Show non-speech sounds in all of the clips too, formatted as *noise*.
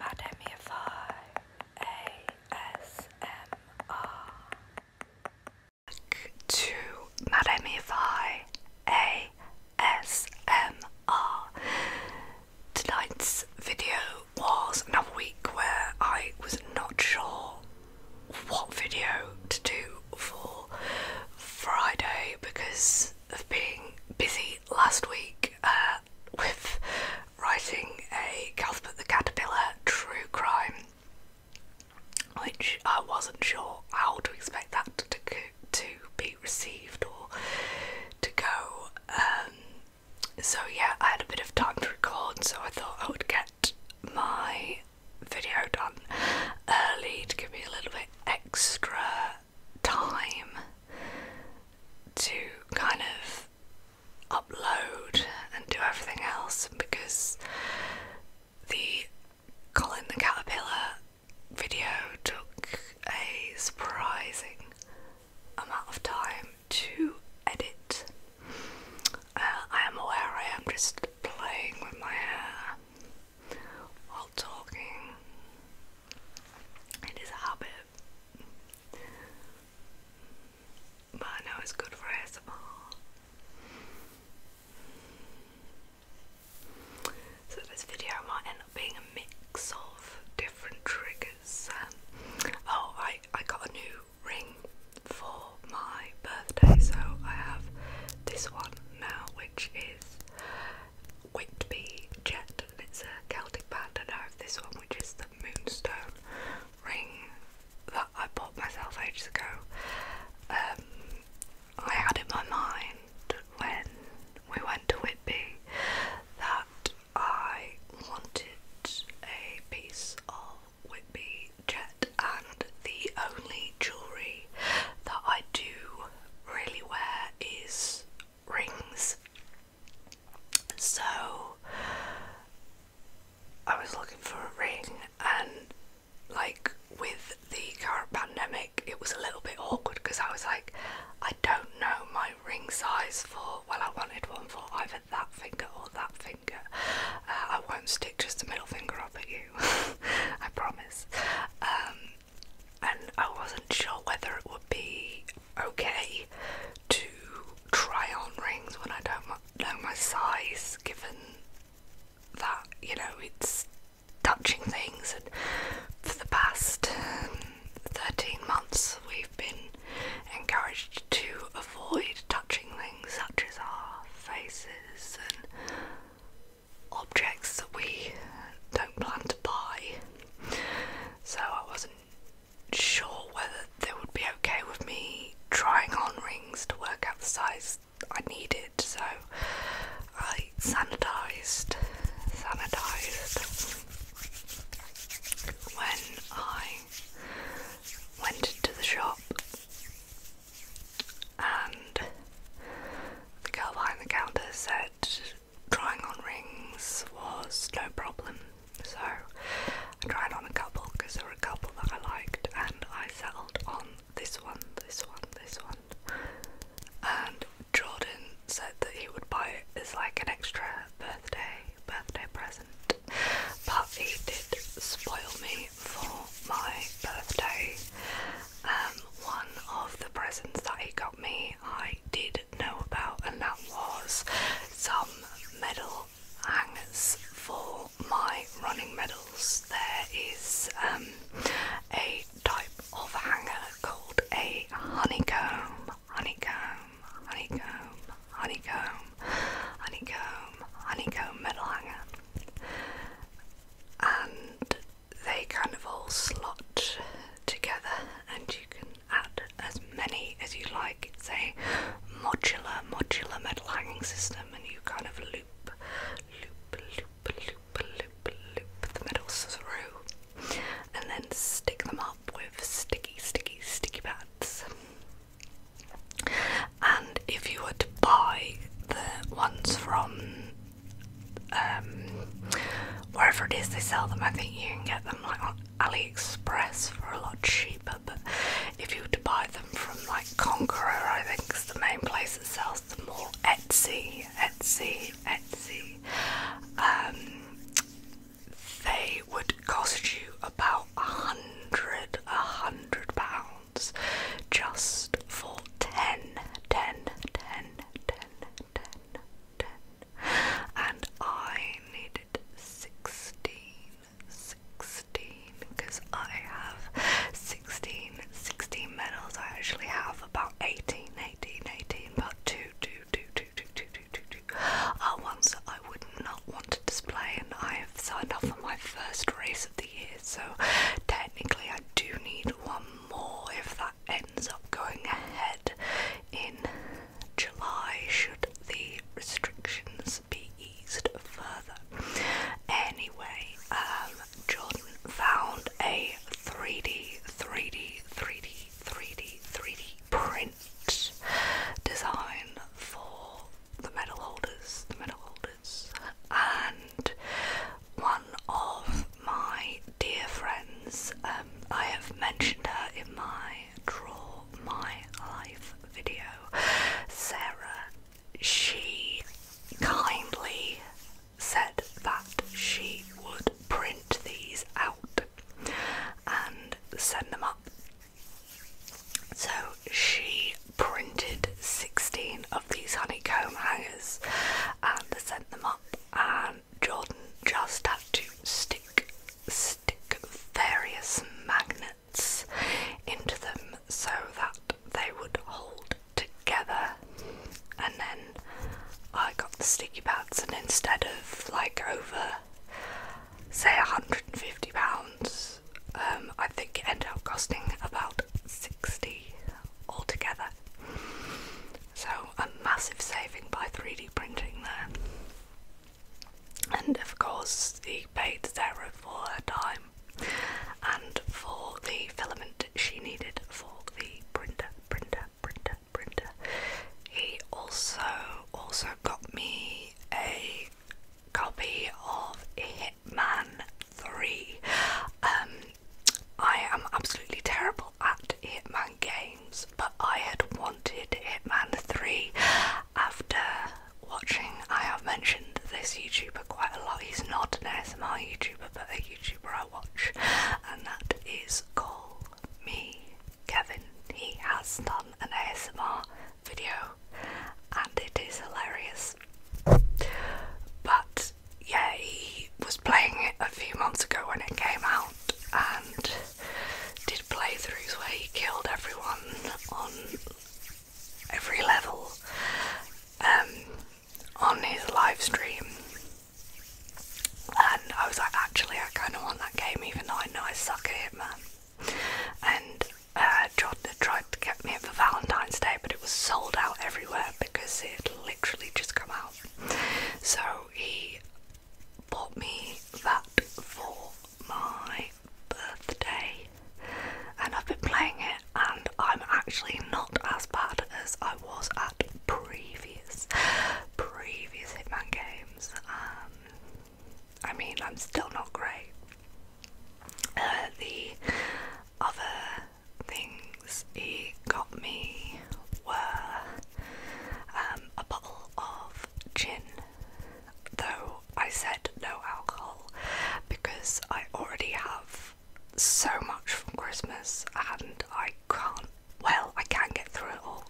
Madamify ASMR. to Madamify ASMR. Tonight's video was another week where I was not sure what video to do for Friday because of being busy last week. Uh, with writing a Cuthbert the Caterpillar true crime, which I wasn't sure how to expect that to, to be received or to go. Um, so, yeah, I had a bit of time to record, so I thought I would get my video done early to give me a little bit extra time to kind of upload and do everything else because the Colin the Caterpillar video took a surprising amount of time to edit. Uh, I am aware I am just playing with my hair while talking. It is a habit. But I know it's good for ASMR. So this video might end up being a mix of different triggers. oh, I, I got a new ring for my birthday, so I have this one now, which is Whitby Jet, and it's a Celtic band. I know of this one, which is the Moonstone ring that I bought myself ages ago. Um, I had in my mind when we went to Whitby that I wanted a piece of Whitby Jet, and the only jewellery that I do really wear is rings. So I was looking for a ring, and like with the current pandemic, it was a little bit awkward because I was like, I don't know my ring size for. Well, I wanted one for either that finger or that finger. Uh, I won't stick just the middle finger up at you, *laughs* I promise. Um, and I wasn't sure whether it would be okay to try on rings when I don't know my size, given that, you know, it's touching things. And for the past um, 13 months, we've been encouraged to avoid touching things such as our faces and objects that we don't plan to buy. So I wasn't sure whether they would be okay with me trying on rings to work out the size I needed, so I sanitized, sanitized when I went into the shop. And the girl behind the counter said, trying on rings was no problem, so I tried on a couple because there were a couple that I liked, and I settled on this one, this one, this one. And Jordan said that he would buy it as like an extra birthday birthday present, but he did spoil me for my birthday. Um, one of the presents that he got me, I did know about, and that was some medal hangers for my running medals. There is um, a type of hanger called a honeycomb, honeycomb, honeycomb, honeycomb, honeycomb, honeycomb medal hanger. And they kind of all slot together, and you can add as many as you like. It's a modular, modular metal hanging system, and you kind of loop, loop, loop, loop, loop, loop the metals through, and then stick them up with sticky, sticky, sticky pads. And if you were to buy the ones from um, Wherever it is they sell them, I think you can get them like on AliExpress for a lot cheaper. But if you were to buy them from like Conqueror, I think is the main place that sells them all. Etsy, Etsy, Etsy. Um, they would cost you about a hundred, a hundred pounds just for 10, 10, 10, 10, ten, and I needed sixteen, sixteen, because I have sixteen, sixteen medals. I actually have about 18, 18, 18, about two, two, two, two, two, two, two, two, two, are ones that I would not want to display, and I have signed off on my first race of the year, so technically I do need one more if that ends up going ahead in July should the restrictions be eased further. Anyway, um, Jordan found a 3D, 3D, 3D, 3D, 3D print design for the medal holders, the medal holders, and one of my dear friends. Um, I have mentioned her in my Draw My Life video. Sarah, she kindly said that she would print these out and send them up. So she printed 16 of these honeycomb hangers and sent them up, and Jordan just had to stick stick various magnets into them so that they would hold together and then I got the sticky pads and instead of like over say 150 pounds um, I think it ended up costing about 60 altogether so a massive saving by 3D printing there. And of course he paid Sarah for her time and for the filament she needed for the printer, printer, printer, printer. He also also got me a copy of Hitman 3. Um, I am absolutely terrible at Hitman games but I had wanted Hitman 3 after watching. I have mentioned this YouTuber quite a lot. He's not an ASMR YouTuber, but a YouTuber I watch, and that is Call Me Kevin. He has done an ASMR video, and it is hilarious. But yeah, he was playing it a few months ago when it came out, and did playthroughs where he killed everyone on every level um, on his live stream. And I was like, actually, I kind of want that game, even though I know I suck at it, man. And uh, John tried to get me for Valentine's Day, but it was sold out everywhere because it literally just come out. So he bought me that for my birthday, and I've been playing it, and I'm actually not as bad as I was at previous previous Hitman games. Um, I mean, I'm still not great. Uh, the other things he got me were um, a bottle of gin, though I said no alcohol because I already have so much from Christmas and I can't, well, I can get through it all,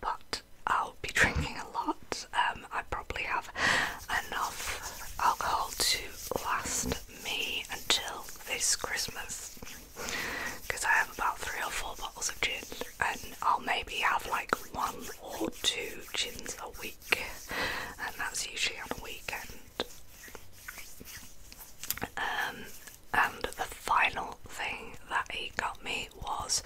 but I'll be *laughs* drinking a lot. Um, I probably have enough alcohol to last me until this Christmas because I have about three or four bottles of gin, and I'll maybe have like one or two gins a week, and that's usually on a weekend. Um, and the final thing that he got me was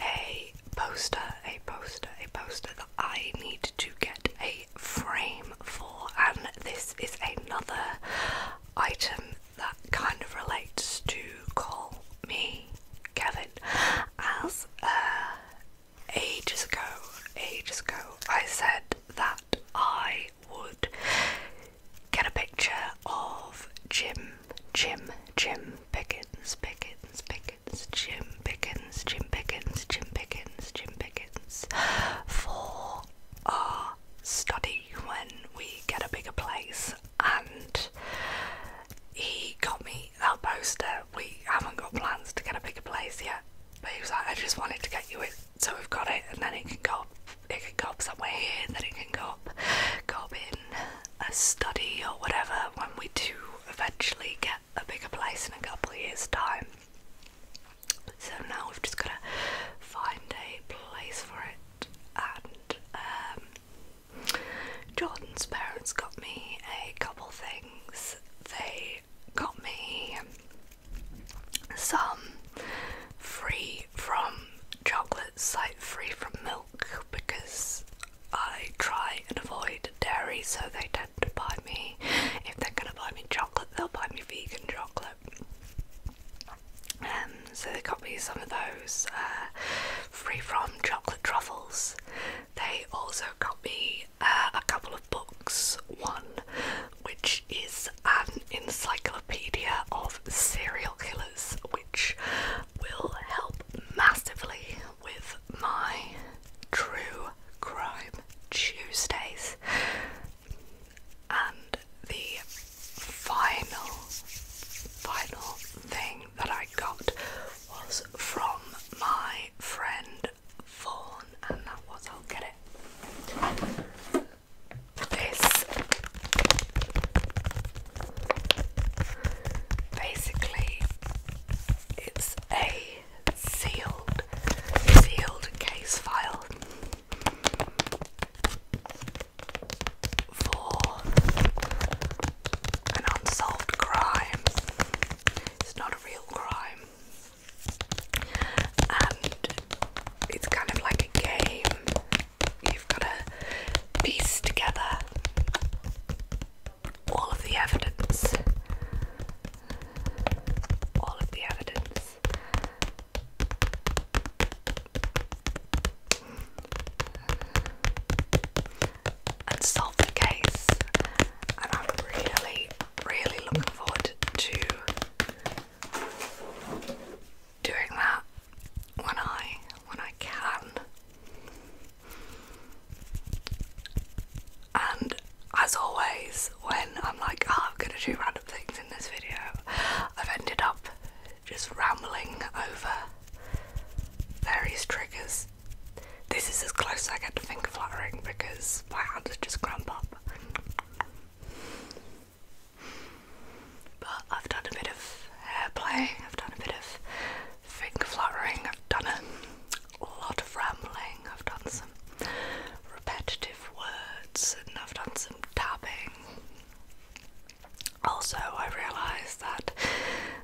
a poster, a poster, a poster that I need to get a frame for, and this is another item that kind of relates to call me Kevin, as uh, ages ago, ages ago, I said that I would get a picture of Jim, Jim, Jim Pickens, Pickens, Pickens, Jim Pickens, Jim Pickens, Jim Pickens, Jim Pickens, for our study when we get a bigger place and he got me that poster. We haven't got plans to get a bigger place yet, but he was like, I just wanted to get you it so we've got it, and then it can go up, it can go up somewhere here, and then it can go up, go up in a study or whatever when we do eventually get a bigger place in a couple years' time. So now we've just got to find a place for it and um, Jordan's parents got me a couple things. They got me some free from chocolate, like free from milk, because I try and avoid dairy, so they tend to buy me. If they're gonna buy me chocolate, they'll buy me vegan chocolate. Um, so they got me some of those uh, free from chocolate truffles. They also got me uh, a couple of books. One, which is an encyclopedia of serial killers, which will help massively with my true crime Tuesdays. And the final, final thing that I got was from my friend Fawn, and that was I'll get it. This basically it's a sealed sealed case file for an unsolved crime. It's not a real crime. And it's kind of like a game. You've got to piece together all of the evidence. All of the evidence and solve the case. And I'm really, really looking forward to doing that when I when I can. And as always, when I'm like, oh, I'm gonna do random things, in this video. I've ended up just rambling over various triggers. This is as close as I get to finger fluttering because my hands are just cramp up. But I've done a bit of airplay. I've done a bit of finger fluttering, I've done a lot of rambling, I've done some repetitive words, and I've done some tapping. Also, I realised that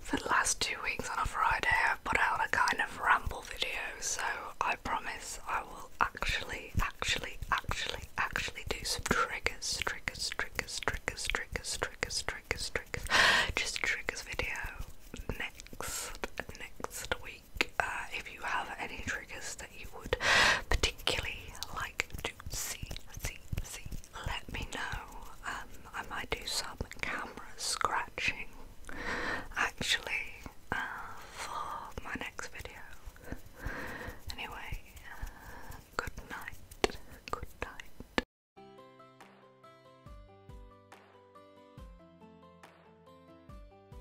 for the last two weeks on a Friday I've put out a kind of ramble video, so I promise I will actually, actually, actually, actually do some triggers, triggers, triggers, triggers, triggers, triggers, triggers, triggers, just triggers video next next week. Uh, if you have any triggers that you would particularly like let me know. Um, I might do some camera scratching actually uh, for my next video. Anyway, uh, good night. Good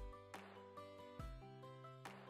night.